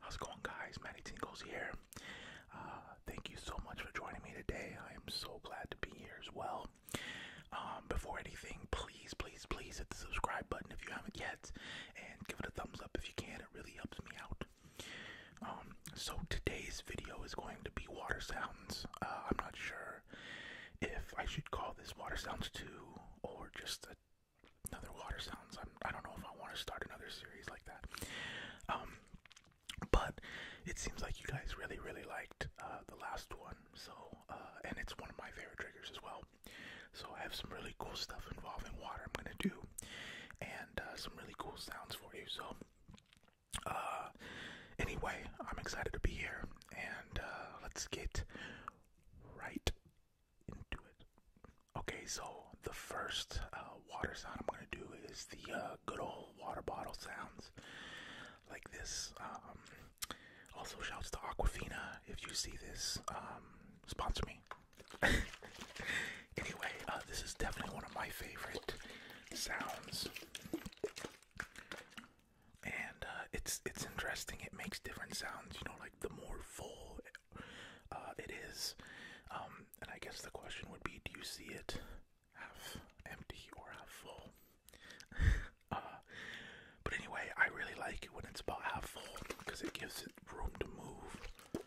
How's it going, guys? Matty Tingles here. Uh, thank you so much for joining me today. I am so glad to be here as well. Um, before anything, please, please, please hit the subscribe button if you haven't yet, and give it a thumbs up if you can. It really helps me out. Um, so today's video is going to be water sounds. Uh, I'm not sure if I should call this water sounds 2 or just another water sounds. I'm, I do not know if I want to start another series like that. Um, but it seems like you guys really, really liked uh, the last one. So, uh, and it's one of my favorite triggers as well. So I have some really cool stuff involving water I'm gonna do, and some really cool sounds for you. So uh, anyway, I'm excited to be here, and uh, let's get right into it. Okay, so the first uh, water sound I'm gonna do is the uh, good old water bottle sounds, like this. Um, also, shouts to Aquafina if you see this. Um, sponsor me. Anyway, uh, this is definitely one of my favorite sounds, and uh, it's it's interesting. It makes different sounds, you know, like the more full uh, it is, um, and I guess the question would be, do you see it half empty or half full? but anyway, I really like it when it's about half full because it gives it room to move.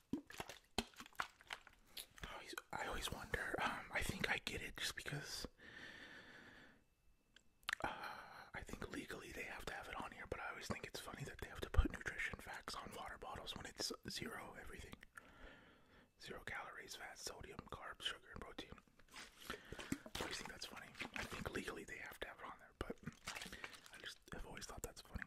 I always, wonder. Um, I think I get it just because. Uh, I think legally they have to have it on here, but I always think it's funny that they have to put nutrition facts on water bottles when it's zero everything. Zero calories, fat, sodium, carbs, sugar, and protein. I always think that's funny. I think legally they have to have it on there, but I just have always thought that's funny.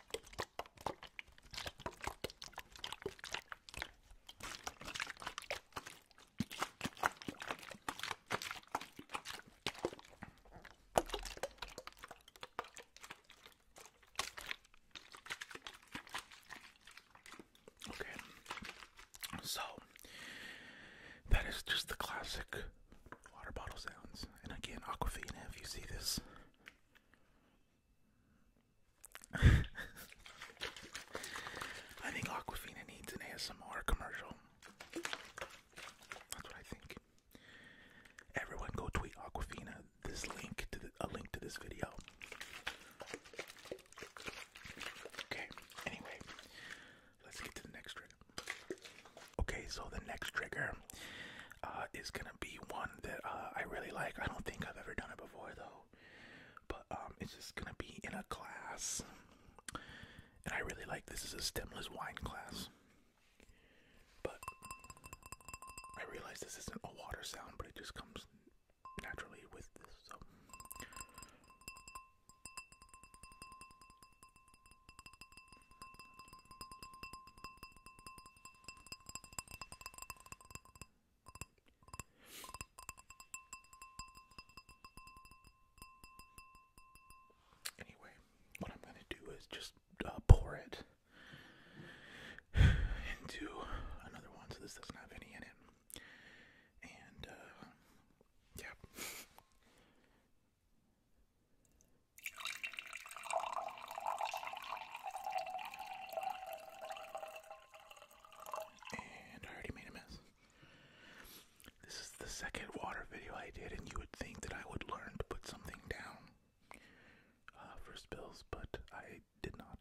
Okay, so that is just the classic water bottle sounds. And again, Aquafina, if you see this, I think Aquafina needs an ASMR commercial. That's what I think. Everyone, go tweet Aquafina this link to a link to this video. Okay. Anyway, let's get to the next trigger. Okay, so the next trigger uh, is gonna be one that uh, I really like. I don't think I've ever done it before though, but um, it's just gonna be in a class, and I really like this. is a stemless wine class, but I realize this isn't a water sound, but it just comes naturally with this. So. Anyway, what I'm going to do is just uh, pour it into another one so this doesn't have any in it. And, uh, yeah. And I already made a mess. This is the second water video I did, and you would think that I would learn to put something down uh, for spills, but I did not.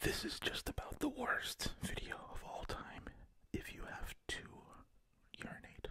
This is just about the worst video of all time. If you have two urinate.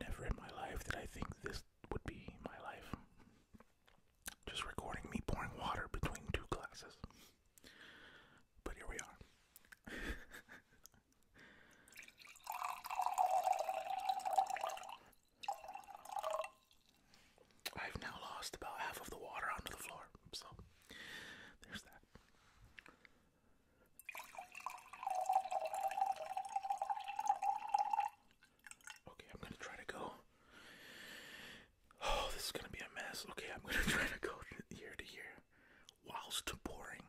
Never in my life that I think this would be my life. Just recording me pouring water between two glasses. But here we are. I've now lost about half of the water onto the floor, so there's that. Okay, I'm gonna try to go. Oh, this is gonna be a mess. Okay, I'm gonna try to go here to here whilst pouring.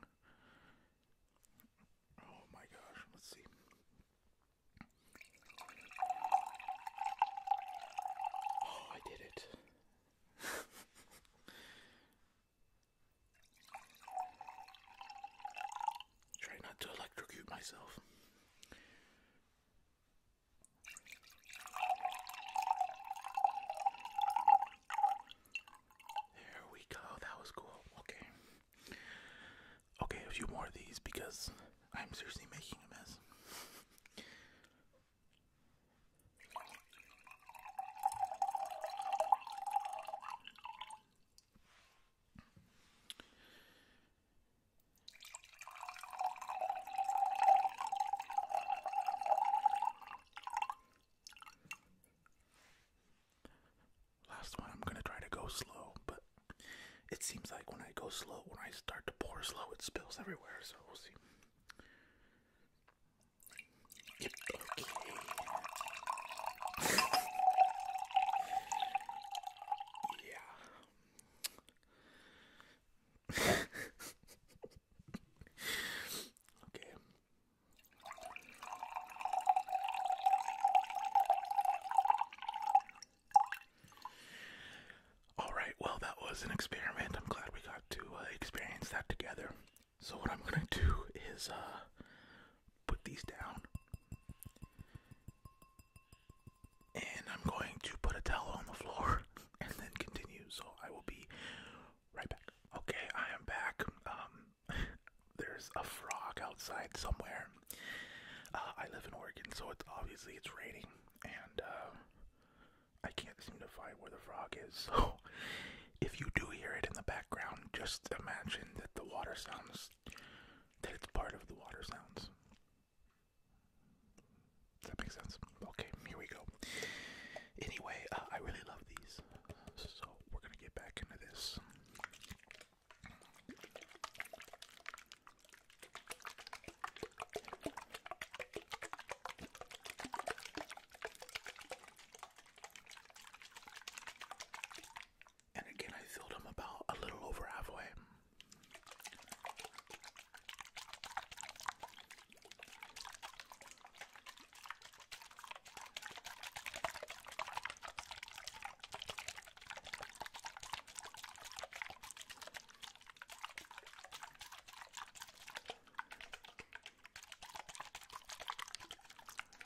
Oh my gosh, let's see. Oh, I did it. Try not to electrocute myself. There we go. That was cool. Okay. Okay, a few more of these because I'm seriously making a mess. Last one, I'm gonna try to go slow, but it seems like when I go slow, when I start to pour slow, it spills everywhere, so we'll see okay. yeah. okay. All right, well, that was an experiment. glad we got to uh, experience that together. So what I'm gonna do is uh put these down and I'm going to put a towel on the floor and then continue. So I will be right back. Okay, I am back. Um there's a frog outside somewhere. Uh, I live in Oregon, so it's obviously it's raining and uh I can't seem to find where the frog is, so if you do hear it in the background, just imagine that the water sounds, that it's part of the water sounds. Does that make sense? Okay, here we go. Anyway, uh, I really love these, so we're gonna get back into this. And again, I filled them about a little over halfway.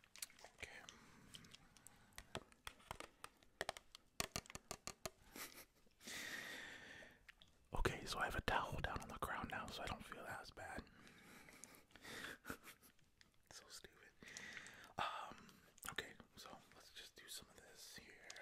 Okay. okay, so I have a towel down on the ground now, so I don't feel as bad. so stupid. Um. Okay, so let's just do some of this here.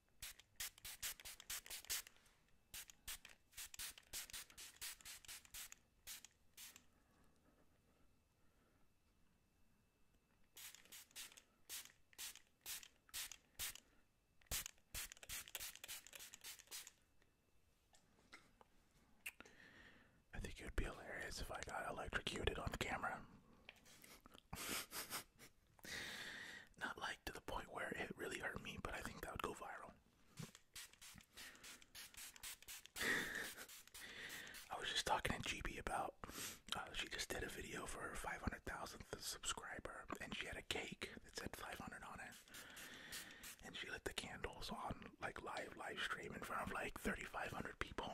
I think it would be hilarious if I got electrocuted on camera. Not like to the point where it really hurt me, but I think that would go viral. I was just talking to GB about. Uh, she just did a video for her 500,000th subscriber, and she had a cake that said 500 on it. And she lit the candles on like live live stream in front of like 3,500 people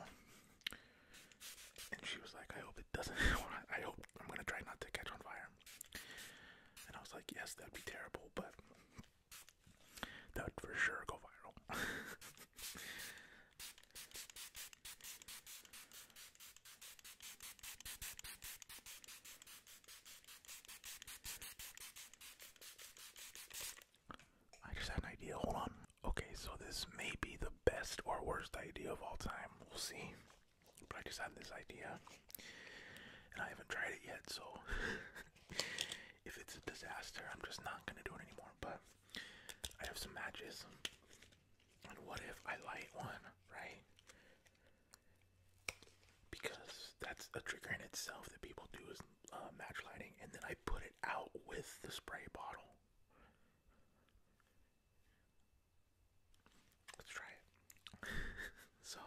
and she was like, I hope it doesn't. I hope I'm gonna try not to catch on fire. And I was like, yes, that'd be terrible, but that would for sure go viral. I just had an idea. Hold on. Okay, so this may be the best or worst idea of all time. We'll see. But I just have this idea, and I haven't tried it yet. So if it's a disaster, I'm just not gonna do it anymore. But I have some matches, and what if I light one, right? Because that's a trigger in itself that people do is uh, match lighting, and then I put it out with the spray bottle. Let's try it. so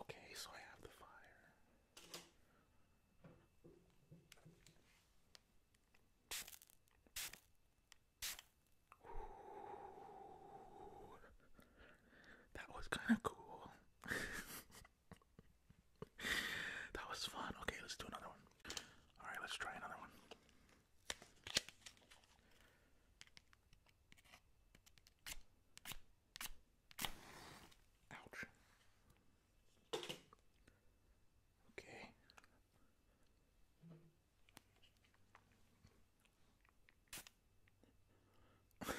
Okay, so I have the fire. that was kind of cool. that was fun. Okay, let's do another one. All right, let's try another one. Ouch. Okay.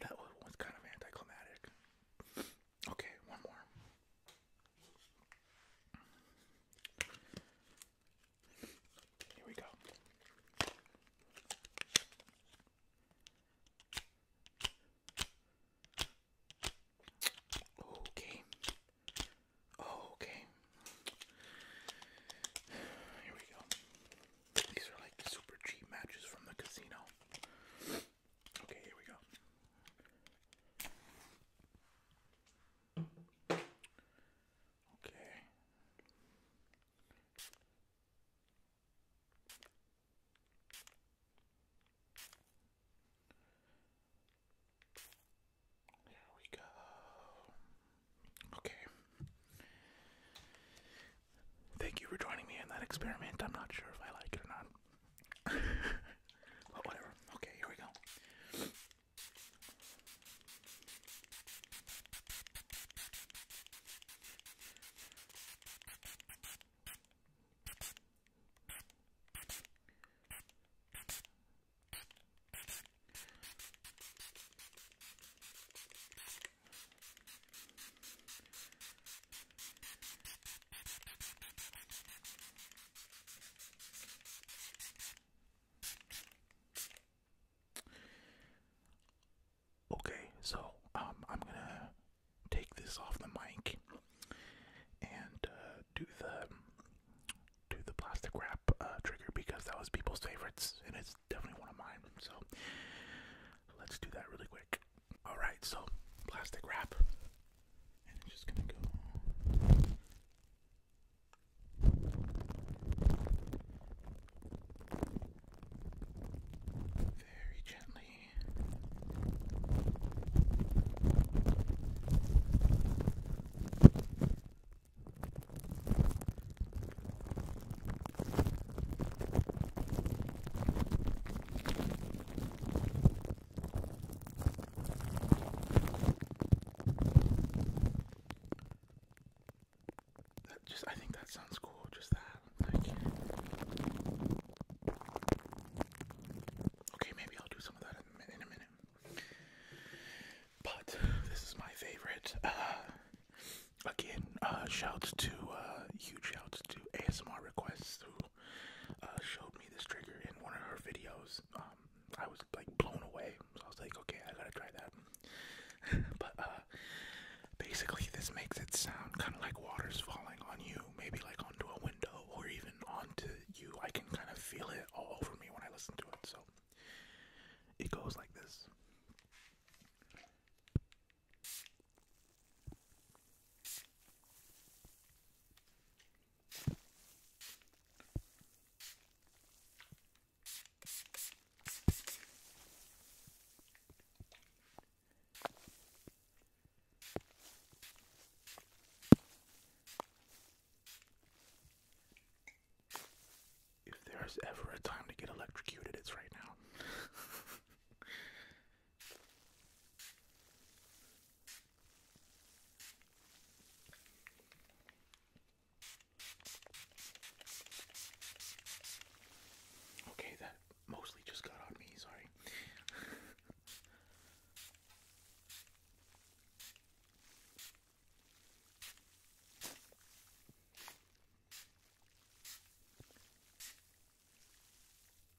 that was kind of anticlimactic. Okay, one more. Here we go. Okay. Okay. Here we go. These are like super cheap matches from the casino. Okay, here we go. Okay. Here we go. Okay. Thank you for joining me in that experiment. I'm not sure if I like it or not. but whatever. Okay, here we go. Okay, so um, I'm gonna take this off the mic and uh, do the do the plastic wrap uh, trigger because that was people's favorites and it's definitely one of mine. So let's do that really quick. Alright, so plastic wrap. And it's just gonna go. Very gently just I think that sounds cool, just that. Okay, maybe I'll do some of that in, a minute. But this is my favorite. Uh, again, uh, shouts to uh, huge shouts to ASMR requests uh, showed me this trigger in one of her videos. Um, I was like blown away, so I was like, okay, I gotta try that. but uh, basically, this makes it sound kind of like water's falling on you, maybe like onto a window or even onto you. I can kind of feel it all over me when I listen to it. So it goes like this. If there's ever a time to get electrocuted, it's right now. Okay, that mostly just got on me, sorry.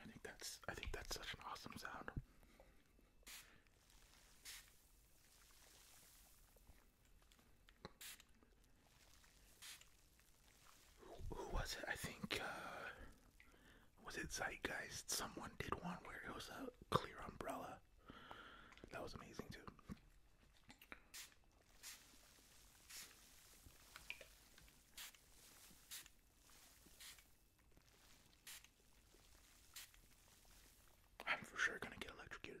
I think that's I think that's such an awesome sound. Who, was it? I think uh, was it Zeitgeist? Someone did one where it was a clear umbrella that was amazing too. I'm for sure gonna get electrocuted.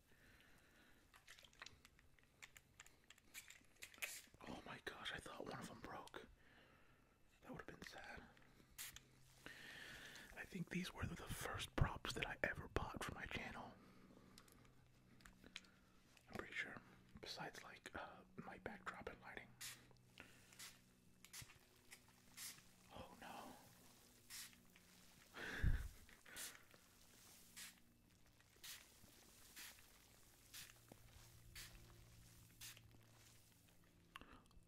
Oh my gosh, I thought one of them broke. That would have been sad. I think these were the first props that I ever bought for my channel. I'm pretty sure. Besides, like, uh, my backdrop and lighting. Oh no.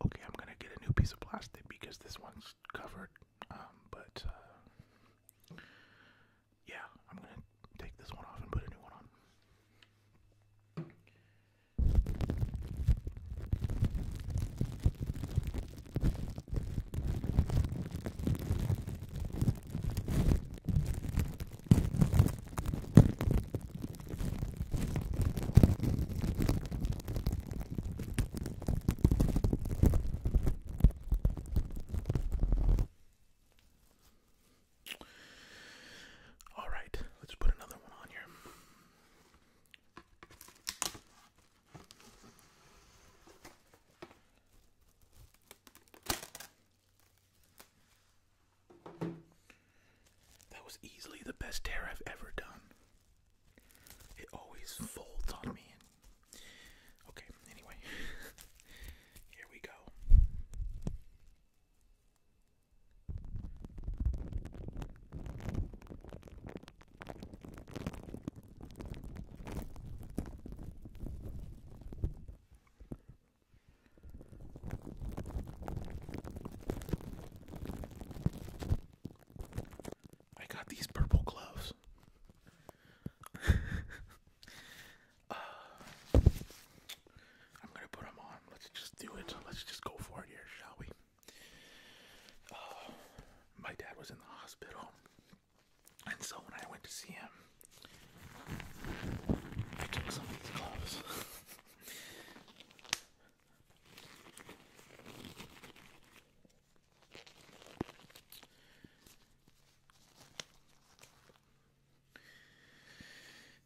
Okay, I'm gonna get a new piece of plastic because this one's covered. Um, but uh, yeah, I'm gonna take this one off and put a new one on. All right, let's put another one on here. That was easily the best tear I've ever done. It always folds on me. Okay, anyway. Here we go. I got these purple gloves. Uh, I'm gonna put them on. Let's just do it. Let's just go for it here, shall we? Uh, my dad was in the hospital. And so when I went to see him, I took some of these gloves.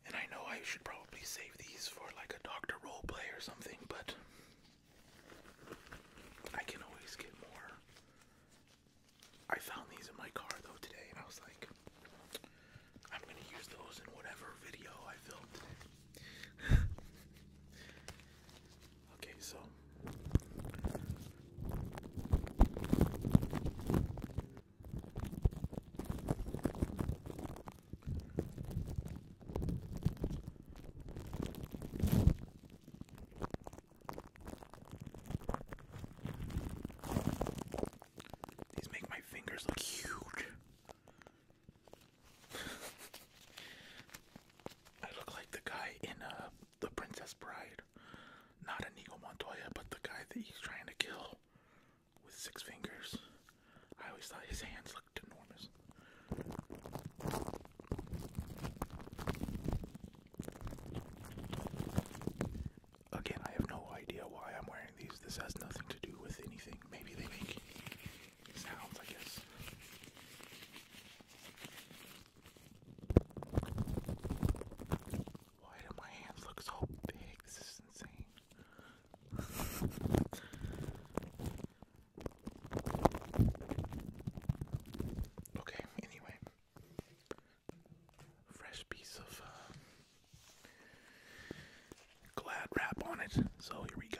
and I know I should probably save these for like a doctor roleplay or something, but I can always get more I found these in my car though today, and I was like, I'm gonna use those in whatever video I filmed today. okay, so. These make my fingers look huge. I look like the guy in uh, The Princess Bride. Not Inigo Montoya, but the guy that he's trying to kill with six fingers. I always thought his hands looked enormous. Again, I have no idea why I'm wearing these. This has nothing to do with anything. Maybe they make sounds, I guess. Why do my hands look so big? This is insane. okay, anyway fresh piece of uh, glad wrap on it. So here we go.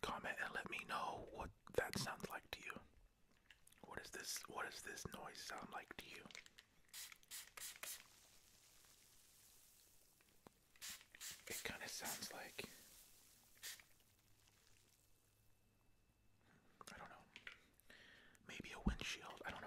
Comment and let me know what that sounds like to you. What is this? What does this noise sound like to you? It kind of sounds like I don't know. Maybe a windshield, I don't know.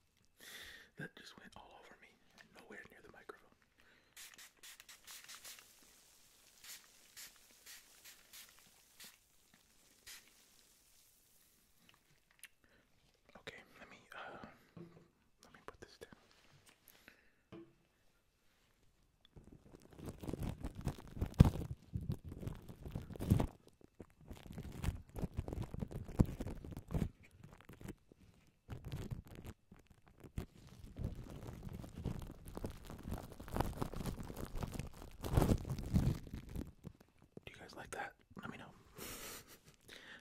that just went all over me, nowhere near the microphone. Okay, let me uh, let me put this down. Do you guys like that? Let me know.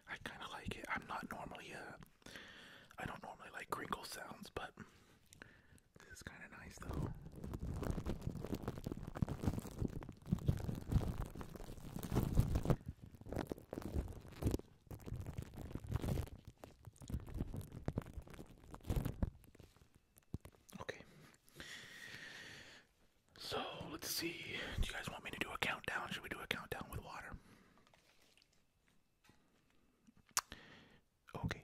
I kind of like it. I'm not normally uh, I don't normally like crinkle sounds, but this is kind of nice though. Okay. So let's see. Do you guys want me to do a countdown? Should we do a countdown with water? Okay.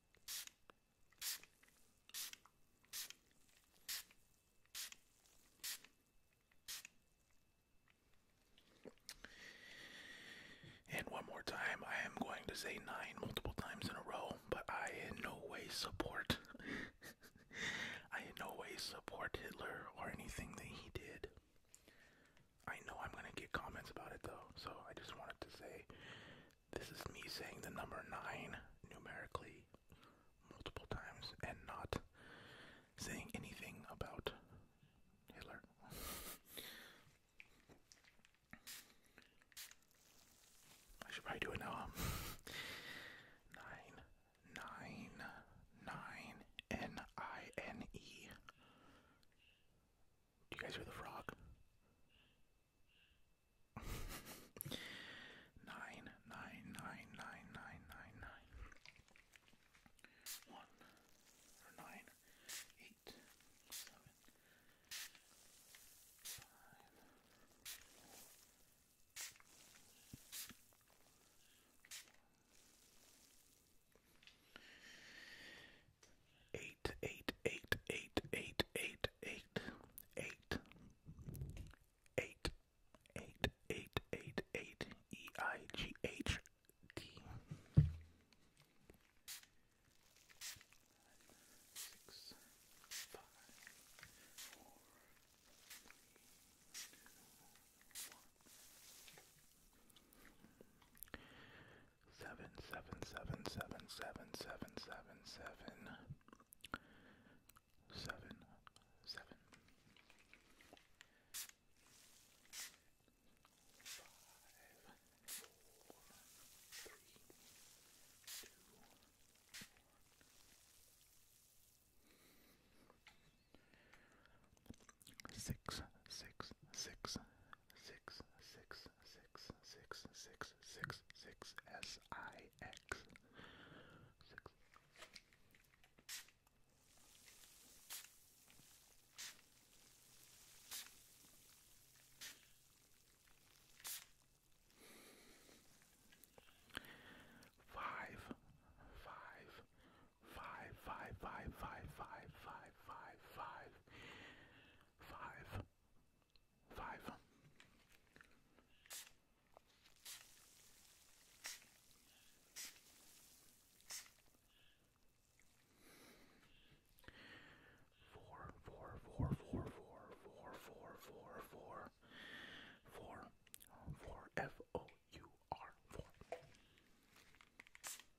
and one more time, I am going to say nine multiple times in a row, but I in no way support. I in no way support Hitler or anything that he did. I know I'm gonna get comments about it though, so I just wanted to say this is me saying the number nine numerically multiple times and not saying anything about Hitler. I should probably do it now. Do you guys hear the frog? nine, nine, nine, nine, nine, nine, nine. One eight, eight, eight, eight, eight, eight, eight, eight, eight, eight, eight, eight, eight, E I G H D six five four three two one seven seven seven seven seven seven seven seven seven seven five four three two Six, six, six, six six six six six six six S I X six. Five, five, five, five, five, five, five, five, five, five, Five. Five. Four, four, four, four, four, four, four, four, four, four, four, F O U R, four.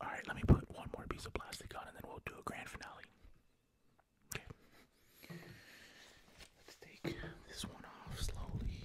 Alright, let me put one more piece of plastic on and then we'll do a grand finale. Okay. Let's take this one off slowly.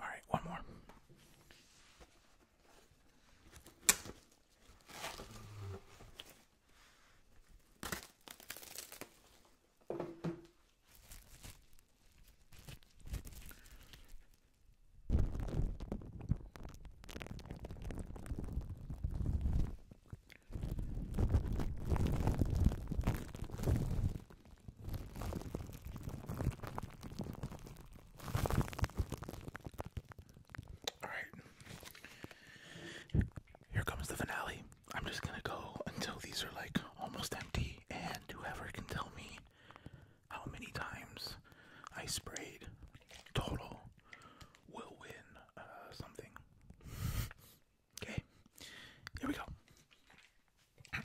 All right, one more. Alright. Here comes the finale. I'm just gonna go until these are like almost empty, and whoever can tell me how many times I sprayed total will win uh, something. Okay, here we go.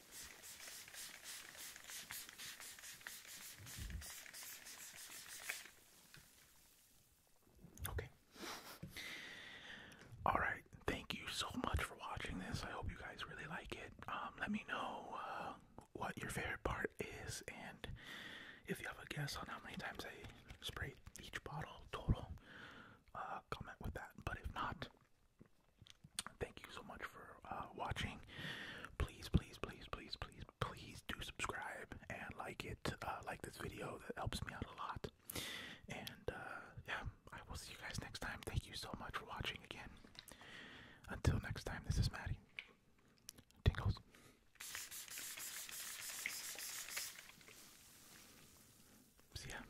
Okay. Alright, thank you so much for watching this. I hope you guys really like it. Um, let me know uh, what your favorite part is and if you have a guess on how many times I sprayed each bottle total, uh, comment with that. But if not, Thank you so much for uh, watching. Please, please, please, please, please, please do subscribe and like it. Uh, like this video, that helps me out a lot. And uh, yeah, I will see you guys next time. Thank you so much for watching again. Until next time, this is Maddie. Tingles. See ya.